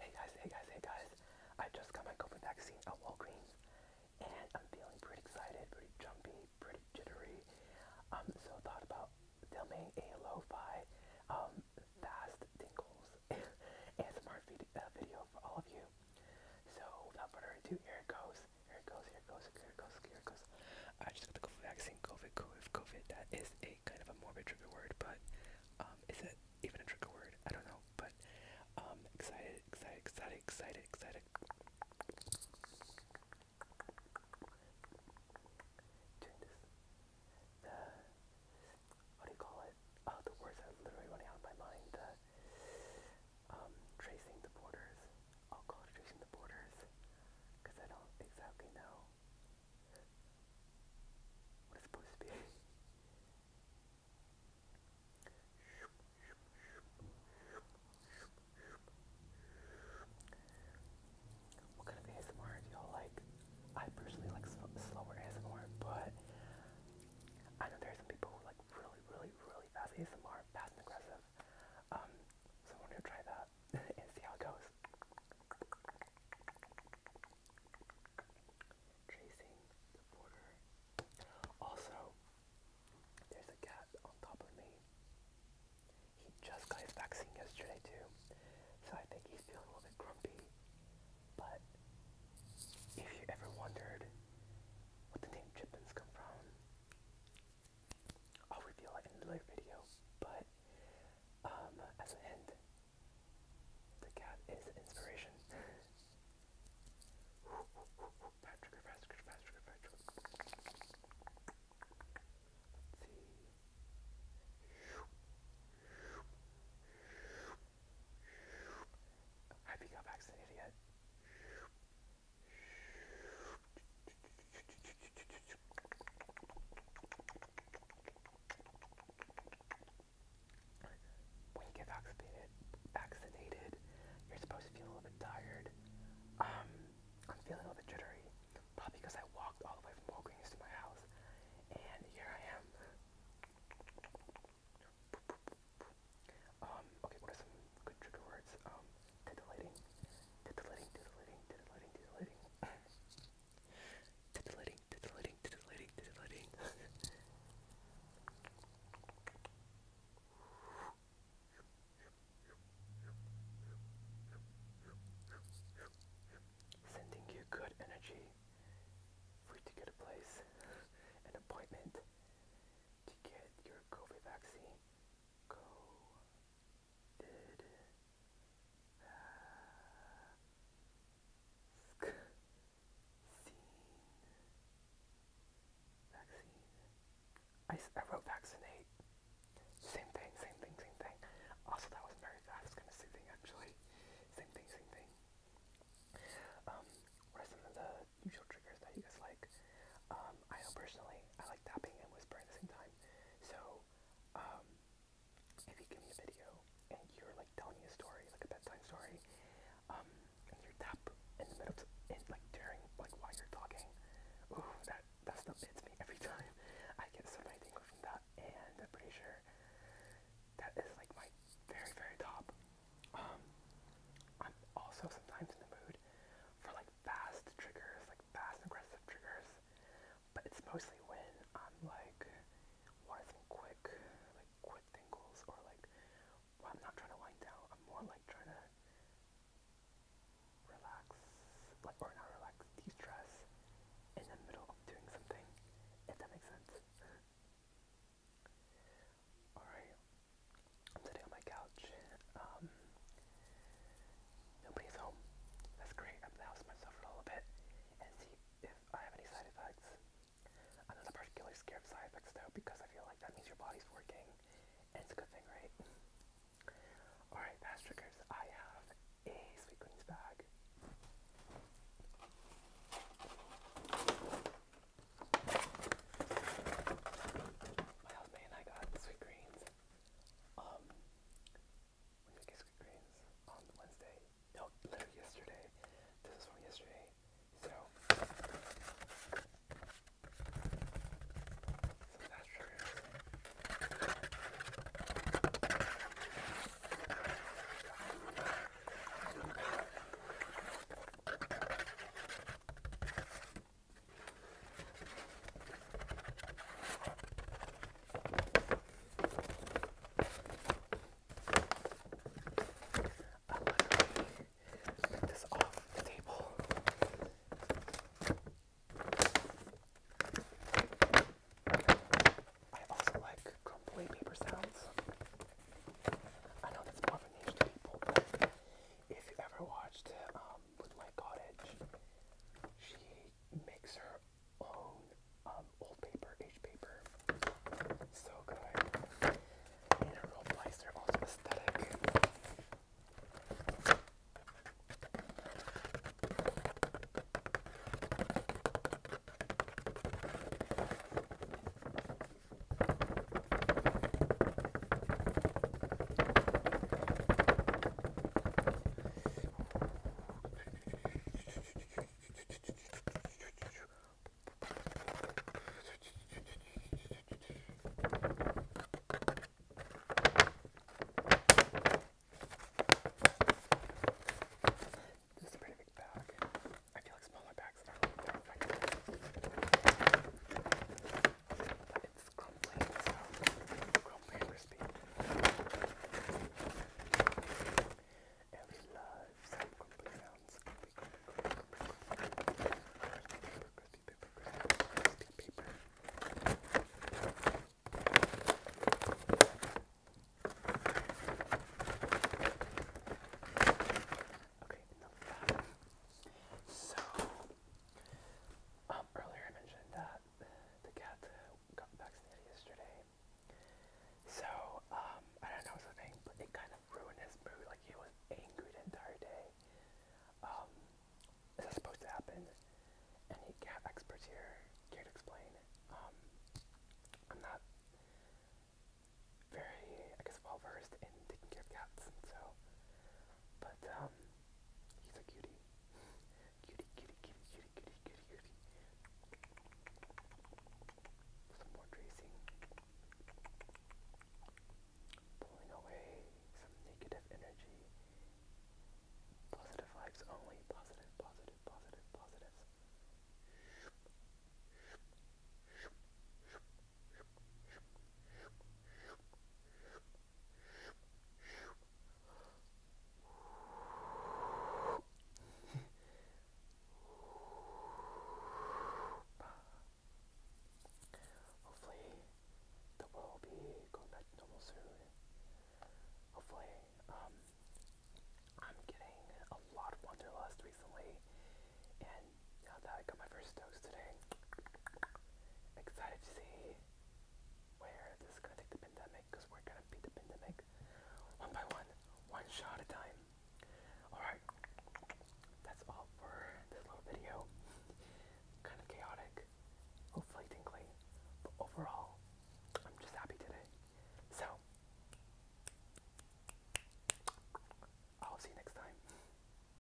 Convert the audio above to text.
Hey guys, hey guys, hey guys. I just got my COVID vaccine at Walgreens and I'm feeling pretty excited, pretty jumpy, pretty jittery. Um, so I thought about filming a lo-fi um, fast tingles and smart vid uh, video for all of you. So without further ado, here it goes, here it goes, here it goes, here it goes, here it goes. I just got the COVID vaccine, COVID, COVID, COVID. That is a kind of a morbid trigger word, but is it even a trigger word? I don't know, but excited, excited, excited, excited, excited. the what do you call it? Oh, the words are literally running out of my mind. The tracing the borders. I'll call it tracing the borders because I don't exactly know what kind of ASMR do you like? I personally like slower ASMR, but I know there are some people who like really, really, really fast ASMR, fast and aggressive. Um, so I am going to try that and see how it goes. Tracing the border. Also, there's a cat on top of me. He just got his vaccine yesterday too, so I think he's feeling a little bit grumpy. But if you ever wondered what the name Chippins come from, I'll reveal it in another video. But um, as an end, the cat is inspiration. Patrick, Patrick, Patrick, Patrick. let Have you got vaccinated yet? When you get vaccinated, vaccinated, you're supposed to feel a little bit tired. Um, I'm feeling a little bit jittery, probably because I walked all the way from Walgreens to my house, and here I am. Um, okay, what are some good trigger words? Um, titillating, titillating, titillating, titillating, titillating. Titillating, Sending you good energy for to get a place, an appointment to get your COVID vaccine. Go did vaccine vaccine I, I wrote vaccinate same thing same thing same thing also that wasn't very fast kind of soothing actually same thing same thing um what are some of the usual triggers that you guys like um I know personally I like tapping and whispering at the same time so um if you give me a video and you're like telling me a story, like a bedtime story, um, and you tap in the middle, in, like during, like while you're talking, ooh, that, that stuff hits me every time. I get so many tingles from that, and I'm pretty sure that is like my very, very top. Um, I'm also sometimes in the mood for like fast triggers, like fast aggressive triggers. But it's mostly when I'm like wanting some quick, like quick tingles, or like I'm not trying to wind down. I'm more like trying to relax, like or not relax, de-stress in the middle of doing something. If that makes sense. Alright, I'm sitting on my couch. Um, Nobody's home. That's great. I'm gonna house myself for a little bit and see if I have any side effects. I'm not particularly scared of side effects though because I feel like that means your body's working and it's a good thing, right? Alright, fast triggers. I have a sweet greens bag. My husband and I got sweet greens. Um, on Wednesday. No, literally yesterday. This is from yesterday. So, that's triggers. I literally took this off the table. I also like crumbly paper sounds. I know that's more of a niche people, if you ever watched um, um, cottage, she makes her own um, old paper, H paper. So good. And her role are also aesthetic. This is a pretty big bag. I feel like smaller bags are, are but it's crumbly, so crumbly and crispy. And we love some crumbly sounds. Crumbly, crumbly, crumbly, crumbly, crispy, paper, crispy, crispy, paper. Okay, enough of that. So, um, earlier I mentioned that the cat got vaccinated yesterday. So, um, I don't know something, but it kind of ruined his mood. Like, he was angry the entire day. Um, is that supposed to happen? Any cat experts here can't explain. Um, I'm not very, I guess, well versed in taking care of cats, so but um, he's a cutie. cutie, cutie, cutie, cutie, cutie, cutie, Some more tracing. Pulling away some negative energy. Positive vibes only. Positive, positive, positive, Shoop, shoop, shoop, shoop, Hopefully, the world will be going back to normal soon. Hopefully, um, I'm getting a lot of Wanderlust recently, and How's that? I got my first dose today. Excited to see where this is gonna take the pandemic, because we're gonna beat the pandemic one by one, one shot at a time. Alright, that's all for this little video. kind of chaotic, hopefully tingly, but overall, I'm just happy today. So, I'll see you next time.